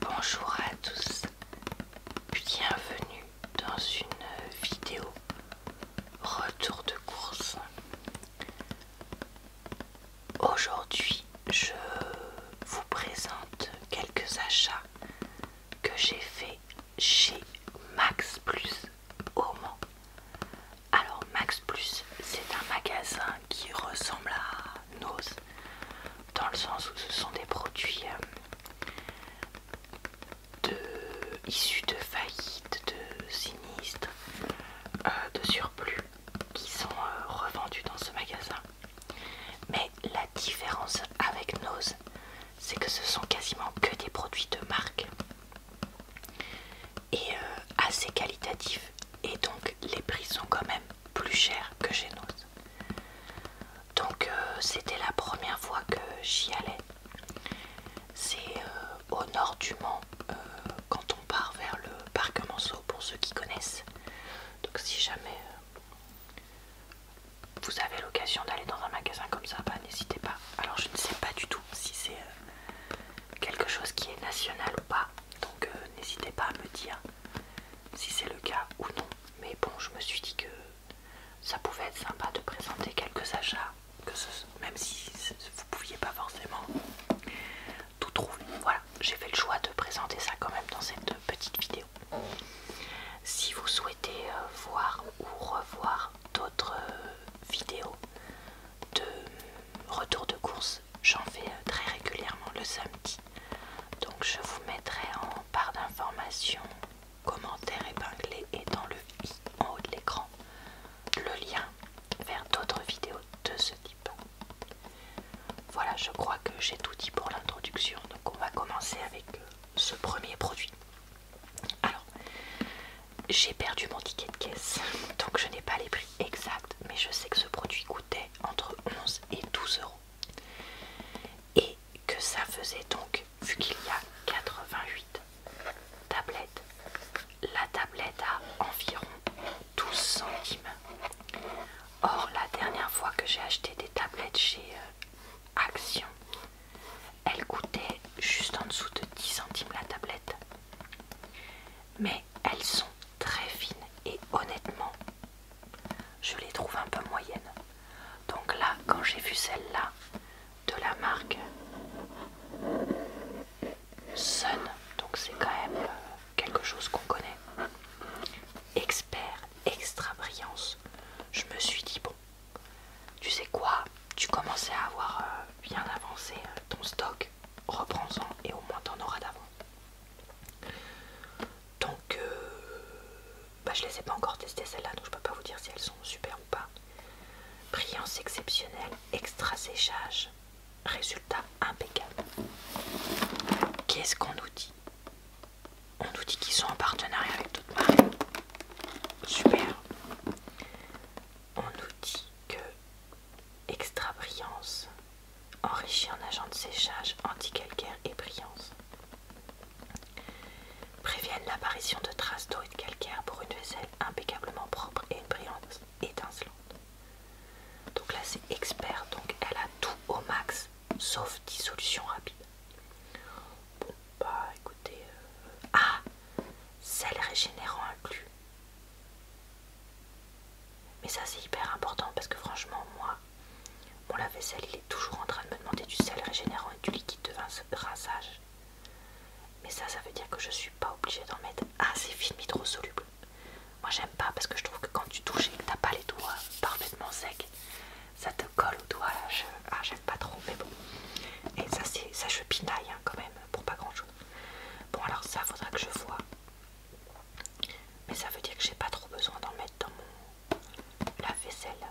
Bonjour à tous, bienvenue dans une vidéo retour de course. Aujourd'hui, je vous présente quelques achats que j'ai fait chez Max Plus au Mans. Alors Max Plus, c'est un magasin qui ressemble à nos dans le sens où ce sont des produits euh, de, issus de faillites, de sinistres, euh, de surplus qui sont euh, revendus dans ce magasin. Mais la différence avec Nose, c'est que ce sont quasiment que des produits de marque et assez qualitatifs et donc les prix sont quand même plus cher que chez Donc euh, c'était la première fois que j'y allais. C'est euh, au nord du Mans euh, quand on part vers le parc Monceau pour ceux qui connaissent. Donc si jamais vous avez l'occasion d'aller dans un magasin comme ça, bah, n'hésitez pas. Alors je ne sais pas du tout si c'est quelque chose qui est national ou pas. Donc euh, n'hésitez pas à me dire si c'est le cas ou non. Mais bon, je me suis dit que ça pouvait être sympa de présenter quelques achats, que ce, même si vous ne pouviez pas forcément tout trouver. Voilà, j'ai fait le choix de présenter ça quand même dans cette petite vidéo. Si vous souhaitez euh, voir ou revoir d'autres euh, vidéos de retour de course, j'en fais euh, très régulièrement le samedi. Donc je vous mettrai en barre d'informations, commentaires épinglé et dans le i en haut de l'écran le lien vers d'autres vidéos de ce type. Voilà, je crois que j'ai tout dit pour l'introduction. Donc on va commencer avec euh, ce premier produit. Alors, j'ai perdu mon ticket de caisse, donc je n'ai pas les prix exacts, mais je sais que ce produit coûtait entre 11 et 12 euros. Et que ça faisait donc, vu qu'il y a 88 tablettes, la tablette a environ 12 centimes. Or, la dernière fois que j'ai acheté des tablettes chez euh, Action, elle coûtait juste en dessous de 10 centimes la tablette. Mais elles sont très fines et honnêtement, je les trouve un peu moyennes. Donc là, quand j'ai vu celle-là de la marque Sun, donc c'est quand même euh, quelque chose qu'on connaît, expert extra brillance, je me suis dit bon, tu sais quoi, tu commençais à avoir euh, bien avancé euh, ton stock reprends-en et au moins t'en auras d'avant. Donc, euh, bah, je les ai pas encore testées celles-là, donc je peux pas vous dire si elles sont super ou pas. Brillance exceptionnelle, extra séchage, résultat impeccable. Qu'est-ce qu'on nous dit On nous dit qu'ils sont en partenariat avec Toute marque. Super. On nous dit que extra brillance enrichi en agents de séchage, anti-calcaire et brillance. Préviennent l'apparition de traces d'eau et de calcaire pour une vaisselle impeccablement propre et une brillance étincelante. Donc là c'est expert, donc elle a tout au max sauf dissolution rapide. Bon bah écoutez... Euh, ah Sel régénérant inclus. Mais ça c'est hyper important parce que franchement moi, mon lave-vaisselle il est toujours en train de me demander du sel régénérant et du liquide de rinçage. Mais ça, ça veut dire que je suis pas obligée d'en mettre. assez c'est film hydrosoluble. Moi, j'aime pas parce que je trouve que quand tu touches et que t'as pas les doigts parfaitement secs, ça te colle aux doigts. Ah, j'aime pas trop, mais bon. Et ça, c'est ça je pinaille hein, quand même pour pas grand chose. Bon, alors ça, faudra que je voie mais ça veut dire que j'ai pas trop besoin d'en mettre dans mon lave-vaisselle.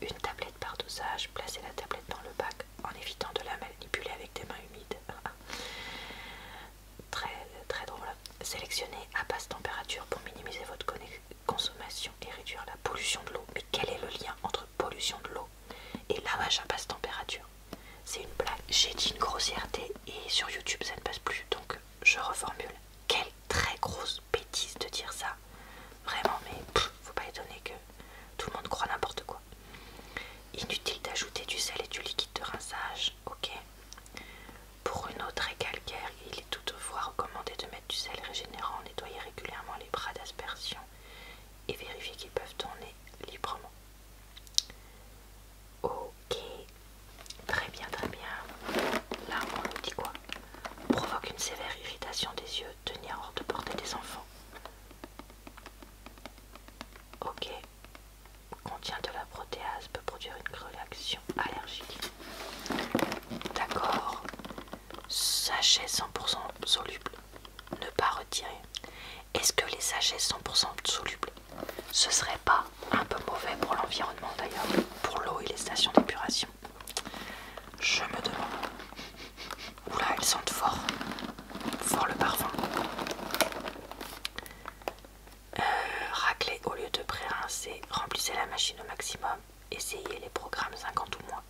Une tablette par dosage, placez la tablette dans le bac en évitant de la manipuler avec des mains humides. très très drôle. Sélectionnez à basse température pour minimiser votre consommation et réduire la pollution de l'eau. Mais quel est le lien entre pollution de l'eau et lavage à basse température c'est une plaque, J'ai dit une grossièreté et sur YouTube ça ne passe plus. Donc je reformule. Quelle très grosse bêtise de dire ça. Vraiment, mais ne faut pas étonner que tout le monde croit n'importe quoi. Inutile d'ajouter du sel et du liquide de rinçage, ok. Pour une eau très calcaire, il est toutefois recommandé de mettre du sel régénérant, nettoyer régulièrement les bras d'aspersion et vérifier qu'ils peuvent tourner librement. Ok, très bien, très bien. Là, dit quoi Provoque une sévère irritation des yeux, tenir hors de portée des enfants. Ok, contient de la protéase, peut produire une réaction allergique. D'accord, Sagesse 100% soluble, ne pas retirer. Est-ce que les sachets 100% solubles ce serait pas un peu mauvais pour l'environnement d'ailleurs, pour l'eau et les stations d'épuration. Je me demande. Oula, elles sentent fort. Fort le parfum. Euh, racler au lieu de pré-rincer, remplissez la machine au maximum. Essayez les programmes 50 ou moins.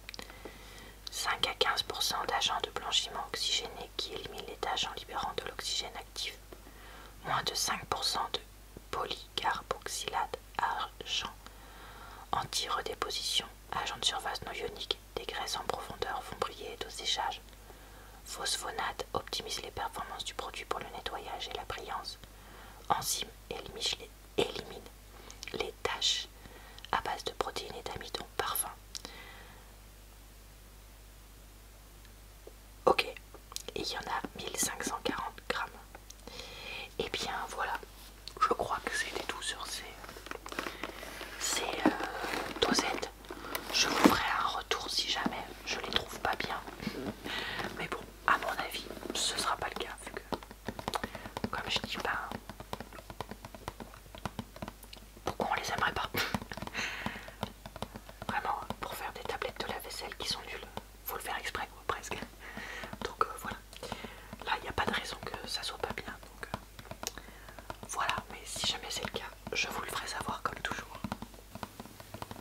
5 à 15% d'agents de blanchiment oxygéné qui élimine les taches en libérant de l'oxygène actif. Moins de 5% de polycarboxylate argent. Anti-redéposition, agent de surface non ionique, des en profondeur font briller et au Phosphonate optimise les performances du produit pour le nettoyage et la brillance. Enzyme élimine les, taches à base de protéines et d'amidon parfum. Ok, il y en a 1540 grammes. Et eh bien voilà, je crois que c'était tout sur ces, euh, dosettes. Je vous ferai un retour si jamais je les trouve pas bien. Mais bon, à mon avis, ce sera pas le cas vu que, comme je dis, pas, ben, pourquoi on les aimerait pas Vraiment, pour faire des tablettes de la vaisselle qui sont nulles, faut le faire exprès presque. Donc euh, voilà. Là, il n'y a pas de raison que ça soit pas bien. Euh, voilà, mais si jamais c'est le cas, je vous le ferai savoir comme toujours.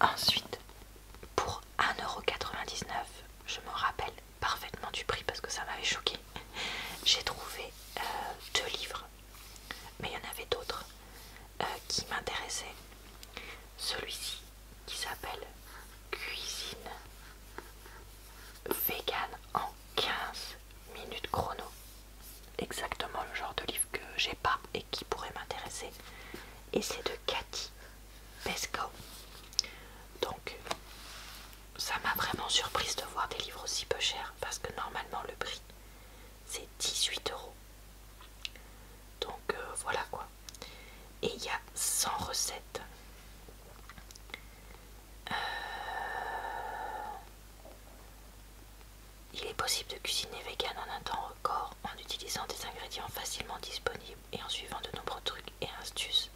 Ensuite, pour 1,99€, je me rappelle parfaitement du prix parce que ça m'avait choqué. J'ai trouvé euh, deux livres mais il y en avait d'autres euh, qui m'intéressaient. Celui-ci qui s'appelle Cuisine vegan en 15 minutes chrono. Exactement le genre de livre que j'ai pas et qui pourrait m'intéresser. Et c'est de Cathy Pesco. Donc ça m'a vraiment surprise de voir des livres aussi peu chers parce que normalement le prix c'est 18 euros. Donc euh, voilà quoi. Et il y a 100 recettes. Euh, il est possible de cuisiner vegan en un temps record en utilisant des ingrédients facilement disponibles et en suivant de nombreux trucs et astuces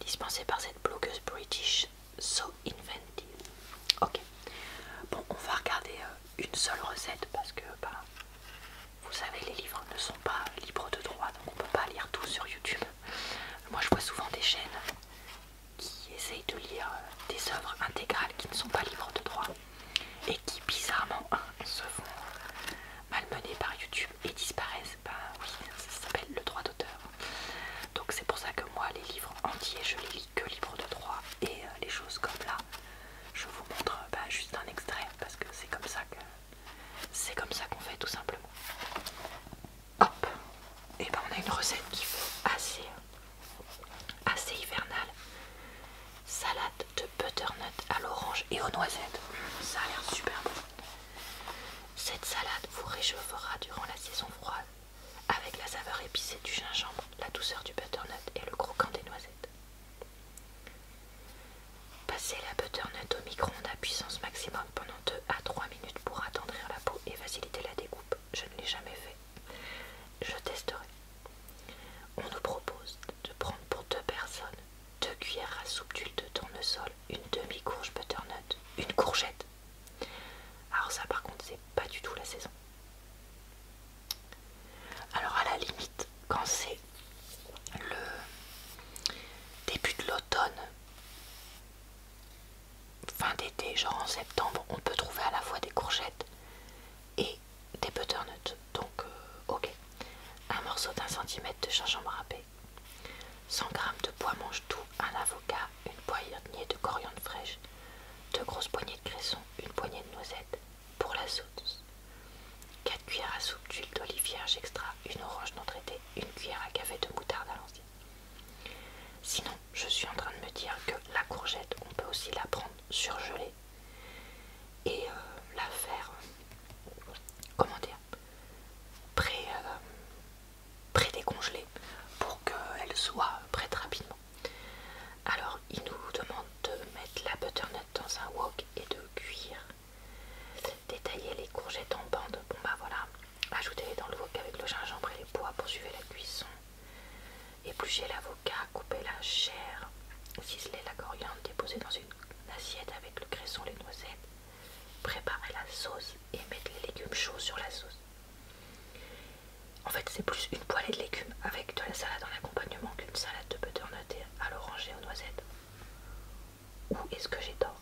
dispensés par cette blogueuse british So Inventive. Ok. Bon, on va regarder euh, une seule recette parce que, bah, vous savez, les livres ne sont pas libres de droit, donc on peut pas lire tout sur YouTube. Moi, je vois souvent des chaînes qui essayent de lire euh, des œuvres intégrales qui ne sont pas libres de droit et qui, bizarrement, hein, se font malmener par YouTube et disparaissent. Bah oui, ça s'appelle le droit d'auteur. Donc c'est pour ça que moi les livres entiers je les lis que livres de droit et euh, les choses comme là je vous montre euh, bah, juste un extrait parce que c'est comme ça que c'est comme ça qu'on fait tout simplement. Hop et eh ben on a une recette qui fait assez assez hivernale. Salade de butternut à l'orange et aux noisettes. Mmh, ça a l'air super bon. Cette salade vous réchauffera durant la saison froide avec la saveur épicée du gingembre, la douceur du butternut et le croquant des noisettes. Passez la butternut au micro-ondes à puissance maximum pendant 2 à 3 minutes pour attendrir la peau et faciliter la découpe. Je ne l'ai jamais fait. Je testerai. On nous propose de prendre pour deux personnes 2 cuillères à soupe d'huile de tournesol, une demi-courge butternut, une courgette, alors ça par contre c'est pas du tout la saison. Alors à la limite quand c'est le début de l'automne, fin d'été, genre en septembre, on peut trouver à la fois des courgettes et des butternuts. Donc euh, ok. Un morceau d'un centimètre de gingembre râpé, 100 g de pois mange tout, un avocat, une poignée de coriandre fraîche, deux grosses poignées de cresson, une poignée de noisettes pour la sauce, 4 cuillères à soupe d'huile d'olive vierge extra, une orange non traitée, une cuillère à café de moutarde à l'ancienne. Sinon, je suis en train de me dire que la courgette, on peut aussi la prendre surgelée et euh, la faire, comment dire, pré, euh, prédécongelée pour qu'elle soit prête rapidement. Alors il nous demande de mettre la butternut dans un wok et de cuire. Détailler les courgettes en bandes. bon bah voilà, Ajouter les dans le wok avec le gingembre et les pois, suivre la cuisson, Éplucher l'avocat, Couper la chair, ciseler la coriandre, Déposer dans une assiette avec le cresson, les noisettes, préparez la sauce et mettre les légumes chauds sur la sauce. En fait, c'est plus une poêlée de légumes avec de la salade en accompagnement qu'une salade de butternut à l'oranger aux noisettes. Ou est-ce que j'ai tort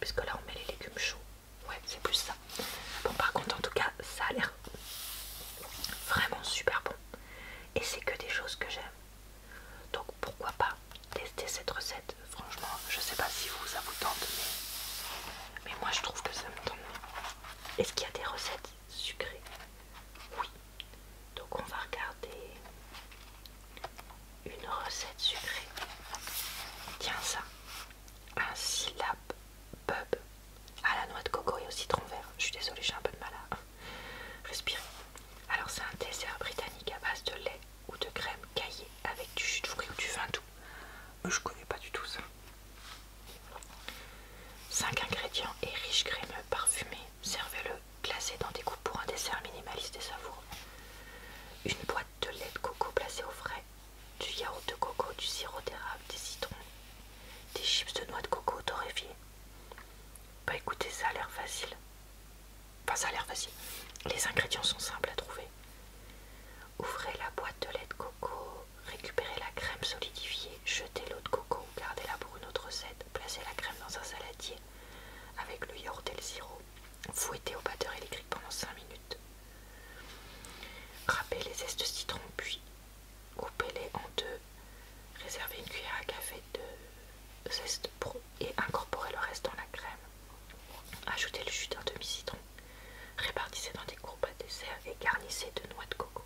Puisque là, on met les légumes chauds. Ouais, c'est plus ça. Bon, par contre, en tout cas, ça a l'air vraiment super bon. Et c'est que des choses que j'aime. Donc, pourquoi pas tester cette recette Franchement, je sais pas si vous ça vous tente, mais, moi je trouve que ça me tente. Est-ce qu'il y a des recettes sucrées Oui. Donc on va regarder une recette sucrée. Tiens ça. Un syllabe pub à la noix de coco et au citron vert. Je suis désolée, j'ai un peu de mal à hein, respirer. Alors c'est un dessert britannique à base de lait ou de crème caillée avec du jus de fruits ou du vin doux. Je ne connais pas du tout ça. 5 ingrédients et riche crémeux parfumé. Servez-le glacé dans des coupes pour un dessert minimaliste et savoureux. Une boîte de lait de coco placée au frais, du yaourt de coco, du sirop d'érable, des citrons, des chips de noix de coco torréfiées. Bah écoutez, ça a l'air facile. Enfin, ça a l'air facile. Les ingrédients sont simples à trouver. Ouvrez la boîte de lait de coco, récupérez la crème solidifiée, jetez l'eau de coco, gardez-la pour une autre recette, placez la crème dans un saladier avec le yaourt et le fouettez au batteur électrique pendant 5 minutes. Râpez les zestes de citron puis coupez-les en deux, réservez une cuillère à café de zeste pro et incorporez le reste dans la crème. Ajoutez le jus d'un demi-citron Répartissez dans des courbes à dessert et garnissez de noix de coco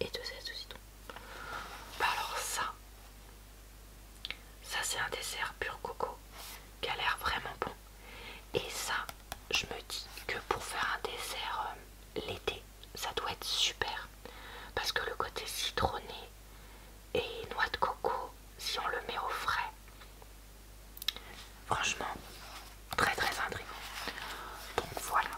et de zeste de citron. Bah alors ça, ça c'est un dessert pur coco qui a l'air vraiment bon. Et ça, je me dis que pour faire un dessert euh, l'été, ça doit être super. Parce que le côté citronné et noix de coco, si on le met au frais, Franchement, très très intriguant. Donc voilà.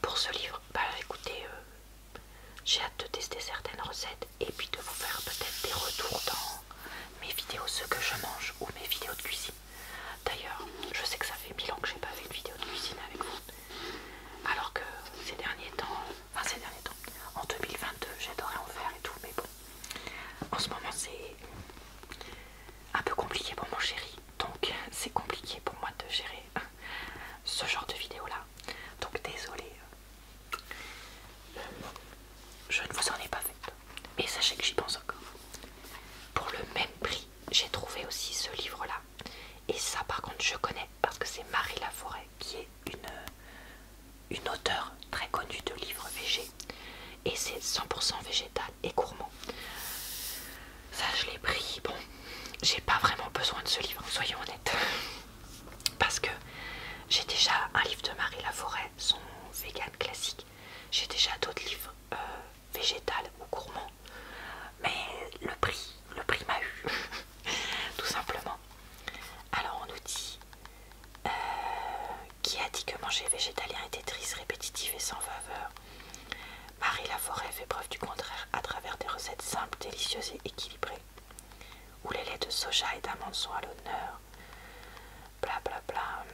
Pour ce livre, bah écoutez, euh, j'ai hâte de tester certaines recettes et puis de vous faire peut-être des retours dans mes vidéos, ce que je mange ou mes vidéos de cuisine. D'ailleurs, je sais que ça fait mille ans que j'ai pas fait de vidéo de cuisine avec vous. Alors que ces derniers temps, enfin ces derniers temps, en 2022, j'adorais en faire et tout, mais en ce moment, c'est un peu compliqué pour mon chéri, donc c'est compliqué pour moi de gérer ce genre de vidéo là. Donc désolé, je ne vous en ai pas fait. Mais sachez que j'y pense encore. Pour le même prix, j'ai trouvé aussi ce livre là. Et ça, par contre, je connais parce que c'est Marie Laforêt qui est une, une auteure très connue de livres végés. Et c'est 100% végétal et gourmand. Ça, je l'ai pris. Bon, j'ai pas vraiment besoin de ce livre, soyons honnêtes. Parce que j'ai déjà un livre de Marie Laforêt, son vegan classique. J'ai déjà d'autres livres euh, végétal ou gourmand Mais le prix, le prix m'a eu. Tout simplement. Alors on nous dit euh, qui a dit que manger végétalien était triste, répétitif et sans faveur Marie Laforêt fait preuve du contraire à travers des recettes simples, délicieuses et équilibrées, où les laits de soja et d'amande sont à l'honneur. Bla bla bla.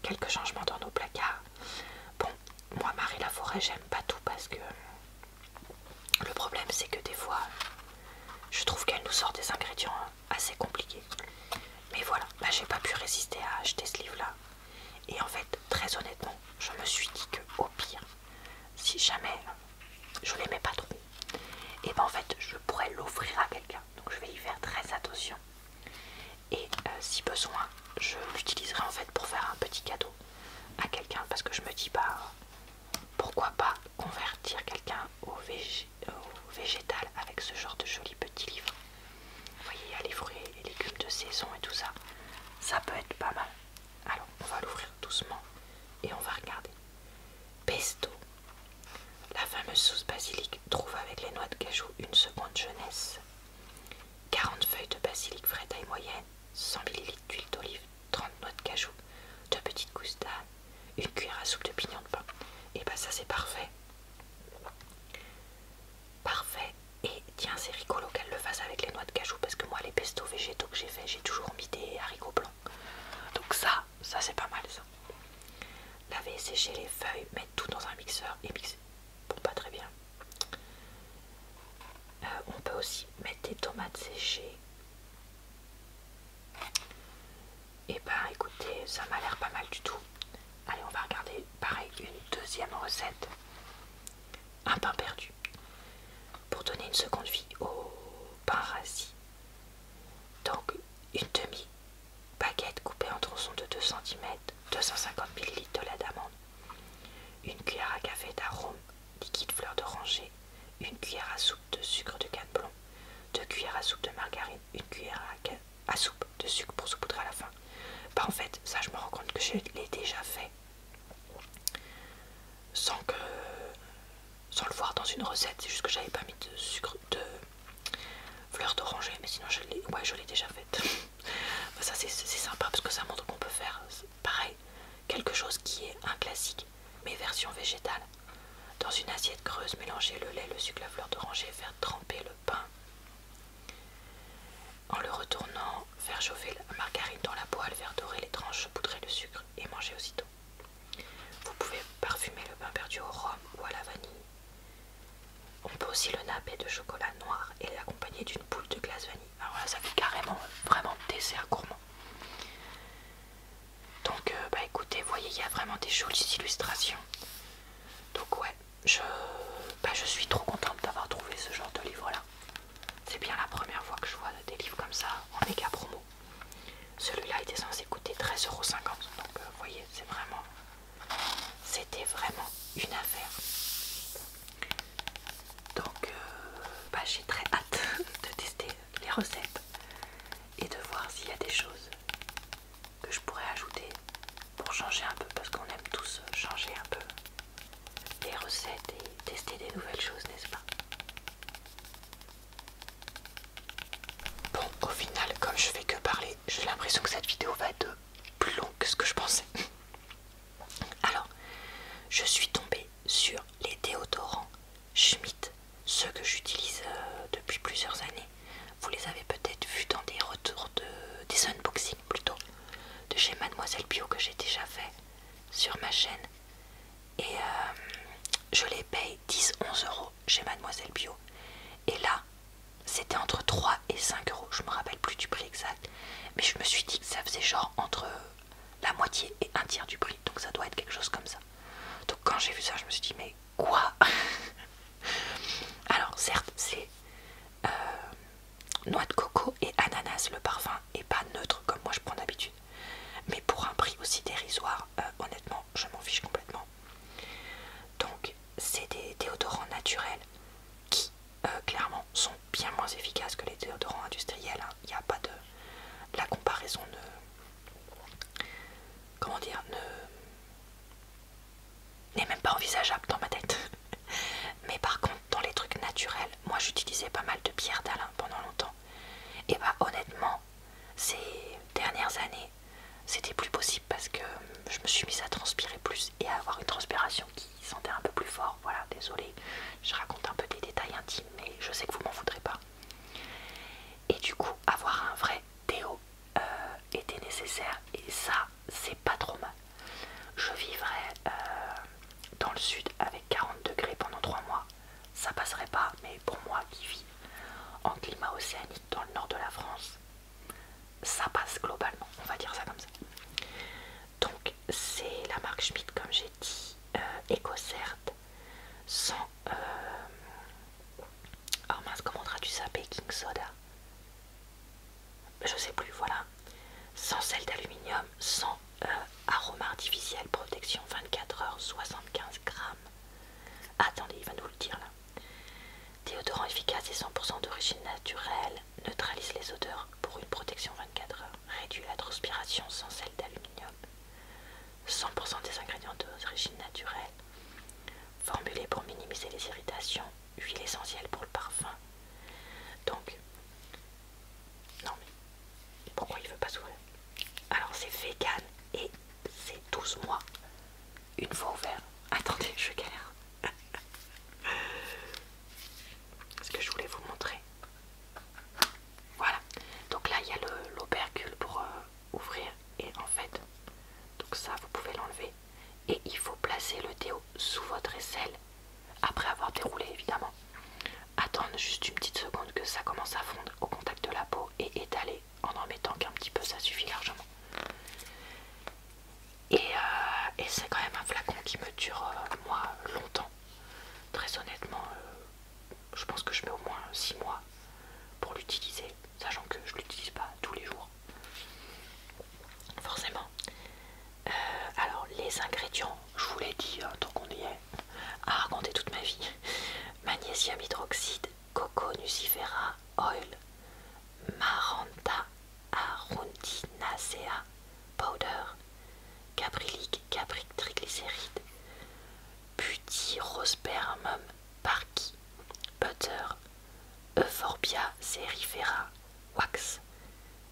Quelques changements dans nos placards. Bon, moi, Marie Laforêt, j'aime pas tout parce que. Le problème, c'est que des fois, je trouve qu'elle nous sort des ingrédients assez compliqué. Mais voilà, bah, j'ai pas pu résister à acheter ce livre-là. Et en fait, très honnêtement, je me suis dit que au pire, si jamais je l'aimais pas trop, et ben en fait, je pourrais l'offrir à quelqu'un. Donc je vais y faire très attention. Et euh, si besoin, je l'utiliserai en fait pour faire un petit cadeau à quelqu'un parce que je me dis pas... Bah, pourquoi pas convertir quelqu'un au, végétal avec ce genre de joli petit livre Vous voyez, il y a les fruits et légumes de saison et tout ça. Ça peut être pas mal. Alors, on va l'ouvrir doucement et on va regarder. Pesto. La fameuse sauce basilic trouve avec les noix de cajou une seconde jeunesse. 40 feuilles de basilic frais taille moyenne, 100 ml d'huile d'olive, 30 noix de cajou, deux petites gousses une cuillère à soupe de pignon de pain. Et bah ça c'est parfait. Parfait. Et tiens, c'est rigolo qu'elle le fasse avec les noix de cajou parce que moi les pestos végétaux que j'ai fait, j'ai toujours mis des haricots blancs. Donc ça, ça c'est pas mal ça. Laver, sécher les feuilles, mettre tout dans un mixeur et mixer. Bon, pas très bien. Euh, on peut aussi mettre des tomates séchées, et eh ben écoutez, ça m'a l'air pas mal du tout. Allez, on va regarder pareil une deuxième recette. Un pain perdu. Pour donner une seconde vie au pain rassis. Donc une demi baguette coupée en tronçons de 2 cm, 250 ml de lait d'amande, une cuillère à café d'arôme, liquide fleur d'oranger, une cuillère à soupe de sucre de canne blonde de cuillères à soupe de margarine, une cuillère à, soupe de sucre pour saupoudrer à la fin. Bah en fait, ça je me rends compte que je l'ai déjà fait sans que sans le voir dans une recette, c'est juste que j'avais pas mis de sucre de fleur d'oranger, mais sinon je l'ai ouais, déjà fait bah, ça c'est sympa parce que ça montre qu'on peut faire pareil, quelque chose qui est un classique mes versions version végétale. Dans une assiette creuse, mélangez le lait, le sucre, la fleur d'oranger et faire tremper le pain. En le retournant, faire chauffer la margarine dans la poêle, faire dorer les tranches, poudrer le sucre et manger aussitôt. Vous pouvez parfumer le pain perdu au rhum ou à la vanille. On peut aussi le napper de chocolat noir et l'accompagner d'une boule de glace vanille. Alors ah, là, ça fait carrément vraiment dessert gourmand. Donc euh, bah écoutez, vous voyez, il y a vraiment des jolies illustrations. Donc ouais, je, bah, je suis trop contente d'avoir trouvé ce genre de livre-là. C'est bien la première fois que je vois des livres comme ça en méga promo. Celui-là était censé coûter 13,50€. Donc vous euh, voyez, c'est vraiment... C'était vraiment une affaire. Donc euh, bah, j'ai très hâte de tester les recettes et de voir s'il y a des choses que je pourrais ajouter pour changer un peu parce qu'on aime tous changer un peu les recettes et tester des nouvelles choses, n'est-ce pas Bon, au final, comme je fais que parler, j'ai l'impression que cette vidéo va de plus longue que ce que je pensais. Alors, je suis tombée sur les déodorants Schmidt, ceux que j'utilise euh, depuis plusieurs années. Vous les avez peut-être vus dans des retours de des unboxings plutôt de chez Mademoiselle Bio que j'ai déjà fait sur ma chaîne. Et euh, je les paye 10-11 euros chez Mademoiselle Bio. Et là, c'était entre 3 et 5 euros. Je me rappelle plus du prix exact. Mais je me suis dit que ça faisait genre entre la moitié et un tiers du prix. Donc ça doit être quelque chose comme ça. Donc quand j'ai vu ça, je me suis dit mais quoi Alors certes, c'est euh, noix de coco et ananas. Le parfum est pas neutre comme moi je prends d'habitude. Mais pour un prix aussi dérisoire, euh, honnêtement, je m'en fiche complètement. Donc c'est des déodorants naturels qui euh, clairement sont bien moins efficaces que les déodorants industriels. Hein il n'y a pas de... La comparaison ne... Comment dire N'est même pas envisageable dans ma tête. Mais par contre, dans les trucs naturels, moi j'utilisais pas mal de pierres d'Alain pendant longtemps. Et bah honnêtement, ces dernières années, c'était plus possible parce que je me suis mise à transpirer plus et à avoir une transpiration qui sentait un peu plus fort. Voilà, désolé, je raconte un peu des détails intimes, mais je sais que vous m'en voudrez pas. Et du coup, avoir un vrai théo euh, était nécessaire et ça, c'est pas trop mal. Je vivrais euh, dans le sud avec 40 degrés pendant 3 mois, ça passerait pas, mais pour moi qui vis en climat océanique dans le nord de la France, ça passe globalement, on va dire ça comme ça. Donc, c'est la marque Schmidt, comme j'ai dit, eco euh, sans... Euh, oh mince, comment traduit ça Baking soda Je sais plus, voilà. Sans sel d'aluminium, sans euh, arôme artificiel, protection 24 heures, 75 grammes. Attendez, il va nous le dire là. Déodorant efficace et 100% d'origine naturelle, neutralise les odeurs pour une protection 24 heures réduit la transpiration sans celle d'aluminium. 100% des ingrédients d'origine naturelle. Formulé pour minimiser les irritations. Huile essentielle pour le parfum. Donc, non mais pourquoi il veut pas s'ouvrir Alors c'est vegan et c'est 12 mois. Une fois ouvert. Attendez, je galère. Ce que je voulais vous montrer, voilà. Donc là, il y a l'opercule pour euh, ouvrir. Et en fait, donc ça, vous pouvez l'enlever. Et il faut placer le théo sous votre aisselle. Après avoir déroulé, évidemment. Attendre juste une petite seconde que ça commence à fondre au contact de la peau. Et étaler en en mettant qu'un petit peu, ça suffit largement. Euh, et, c'est quand même un flacon qui me dure, euh, moi, longtemps. Très honnêtement, je pense que je mets au moins 6 mois pour l'utiliser, sachant que je ne l'utilise pas tous les jours. Forcément. Euh, alors les ingrédients, je vous l'ai dit hein, tant qu'on y est, à raconter toute ma vie. Magnésium hydroxide, coco nucifera, oil, maranta arundinacea powder, Caprylique, Capric triglycéride, Butyrospermum, Parki, Butter, Euphorbia serifera, Wax,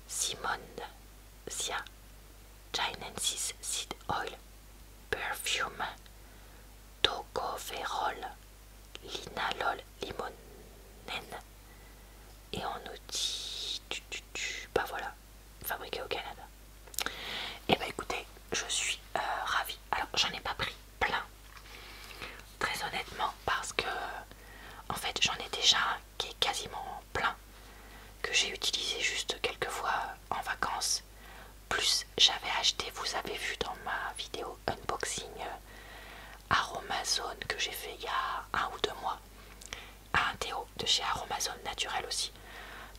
Simone, Sia, Chinensis Seed Oil, Perfume, Tocopherol, Linalol, Limonene et en nous tu, tu, tu, bah voilà, fabriqué au Canada. Et eh ben écoutez, je suis euh, ravie. Alors j'en ai pas pris plein, très honnêtement, parce que en fait j'en ai déjà un qui est quasiment plein, que j'ai utilisé juste quelques fois en vacances. Plus j'avais acheté, vous avez vu dans ma vidéo unboxing euh, Aromazone que j'ai fait il y a un ou deux mois un Théo de chez Aromazone naturel aussi.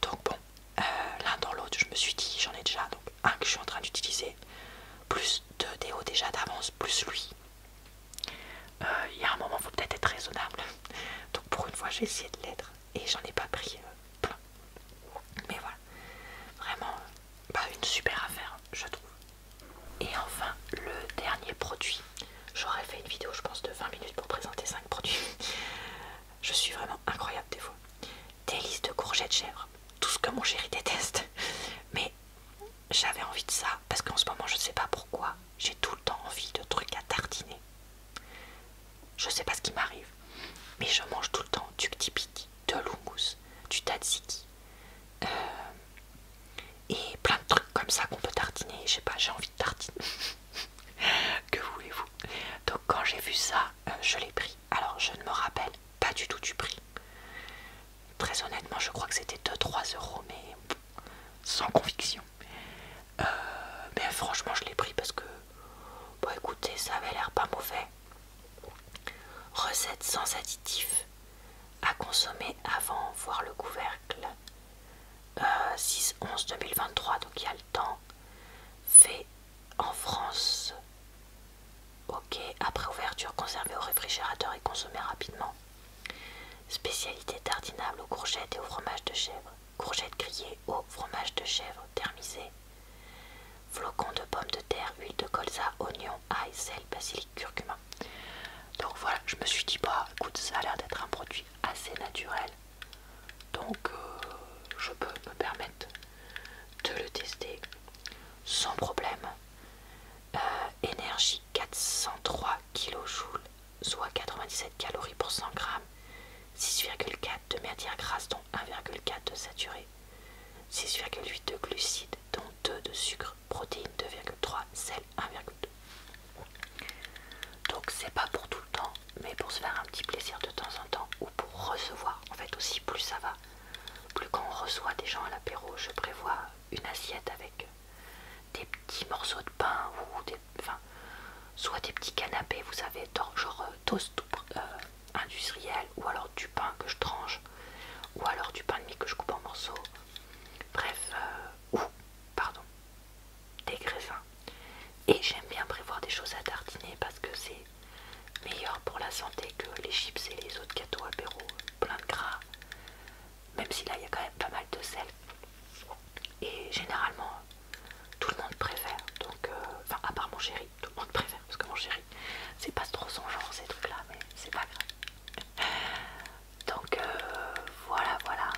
Donc bon, euh, l'un dans l'autre, je me suis dit, j'en ai déjà donc un que je suis en train d'utiliser, plus deux Théo déjà d'avance, plus lui. Euh, il y a un moment, il faut peut-être être raisonnable. Donc pour une fois, j'ai essayé de l'être et j'en ai pas pris euh, plein. Mais voilà, vraiment pas une super affaire, je trouve. Et enfin, le dernier produit J'aurais fait une vidéo, je pense, de 20 minutes pour présenter 5 produits. je suis vraiment incroyable des fois. Délices de courgettes chèvre, tout ce que mon chéri déteste. Mais j'avais envie de ça parce qu'en ce moment, je sais pas pourquoi, j'ai tout le temps envie de trucs à tartiner. Je sais pas ce qui m'arrive, mais je mange tout le temps du Ctipique, de l'oumous, du tzatziki, euh, et plein de trucs comme ça qu'on peut tartiner. Je sais pas, j'ai envie de tartiner. que voulez-vous Donc, quand j'ai vu ça, euh, je l'ai pris. Alors, je ne me rappelle pas du tout du prix. Très honnêtement, je crois que c'était 2-3 euros, mais sans conviction. Euh, mais franchement, je l'ai pris parce que, bon, écoutez, ça avait l'air pas mauvais. Recette sans additifs à consommer avant, voir le couvercle. 6-11-2023, euh, donc il y a le temps, fait en France. Ok, après ouverture, conservé au réfrigérateur et consommé rapidement. Spécialité tartinable aux courgettes et au fromage de chèvre. Courgettes grillées au fromage de chèvre thermisé. Flocons de pommes de terre, huile de colza, oignon, ail, sel, basilic, curcuma donc voilà, je me suis dit, bah écoute, ça a l'air d'être un produit assez naturel. Donc euh, je peux me permettre de le tester sans problème. Euh, énergie 403 kJ, soit 97 calories pour 100 grammes, 6,4 de matière grasse dont 1,4 de saturé, 6,8 de glucides dont 2 de sucre, protéines 2,3, sel 1,2. Donc c'est pas pour tout le temps, mais pour se faire un petit plaisir de temps en temps ou pour recevoir. En fait aussi, plus ça va, plus quand on reçoit des gens à l'apéro, je prévois une assiette avec des petits morceaux de pain ou des, enfin, soit des petits canapés, vous savez, genre euh, toast euh, industriel ou alors du pain que je tranche ou alors du pain de mie que je coupe en morceaux. Bref, euh, ou, pardon, des greffins. Et j'aime bien prévoir des choses à tartiner parce que c'est meilleur pour la santé que les chips et les autres gâteaux apéro plein de gras. Même si là il y a quand même pas mal de sel. Et généralement tout le monde préfère. Donc, euh, enfin à part mon chéri, tout le monde préfère parce que mon chéri c'est pas trop son genre ces trucs là, mais c'est pas grave. Donc euh, voilà, voilà.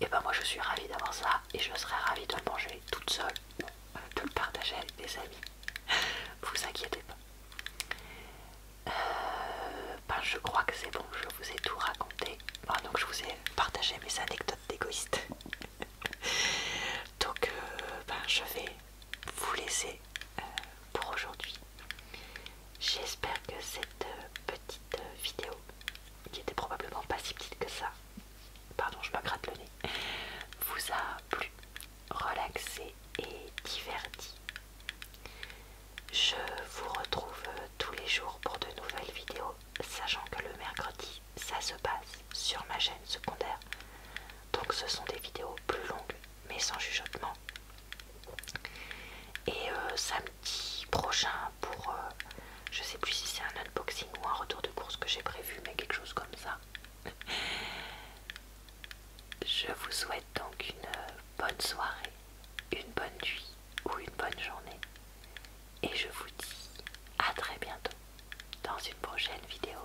Et ben moi je suis ravie d'avoir ça et je serais ravie de le manger toute seule ou euh, de le partager avec des amis. vous inquiétez pas. Euh, ben je crois que c'est bon, je vous ai tout raconté. donc je vous ai partagé mes anecdotes d'égoïste. donc ben je vais vous laisser pour aujourd'hui. J'espère que cette euh, petite euh, vidéo, qui était probablement pas si petite que ça, pardon je me gratte le nez, vous a plu, relaxé et diverti. Je vous retrouve euh, tous les jours pour de nouvelles vidéos, sachant que le mercredi, ça se passe sur ma chaîne secondaire. Donc ce sont des vidéos plus longues mais sans chuchotement. Et euh, samedi prochain pour, euh, je sais plus si c'est un unboxing ou un retour de course que j'ai prévu, mais quelque chose comme ça. Je vous souhaite donc une euh, bonne soirée, une bonne nuit ou une bonne journée. Et je vous dis à très bientôt dans une prochaine vidéo.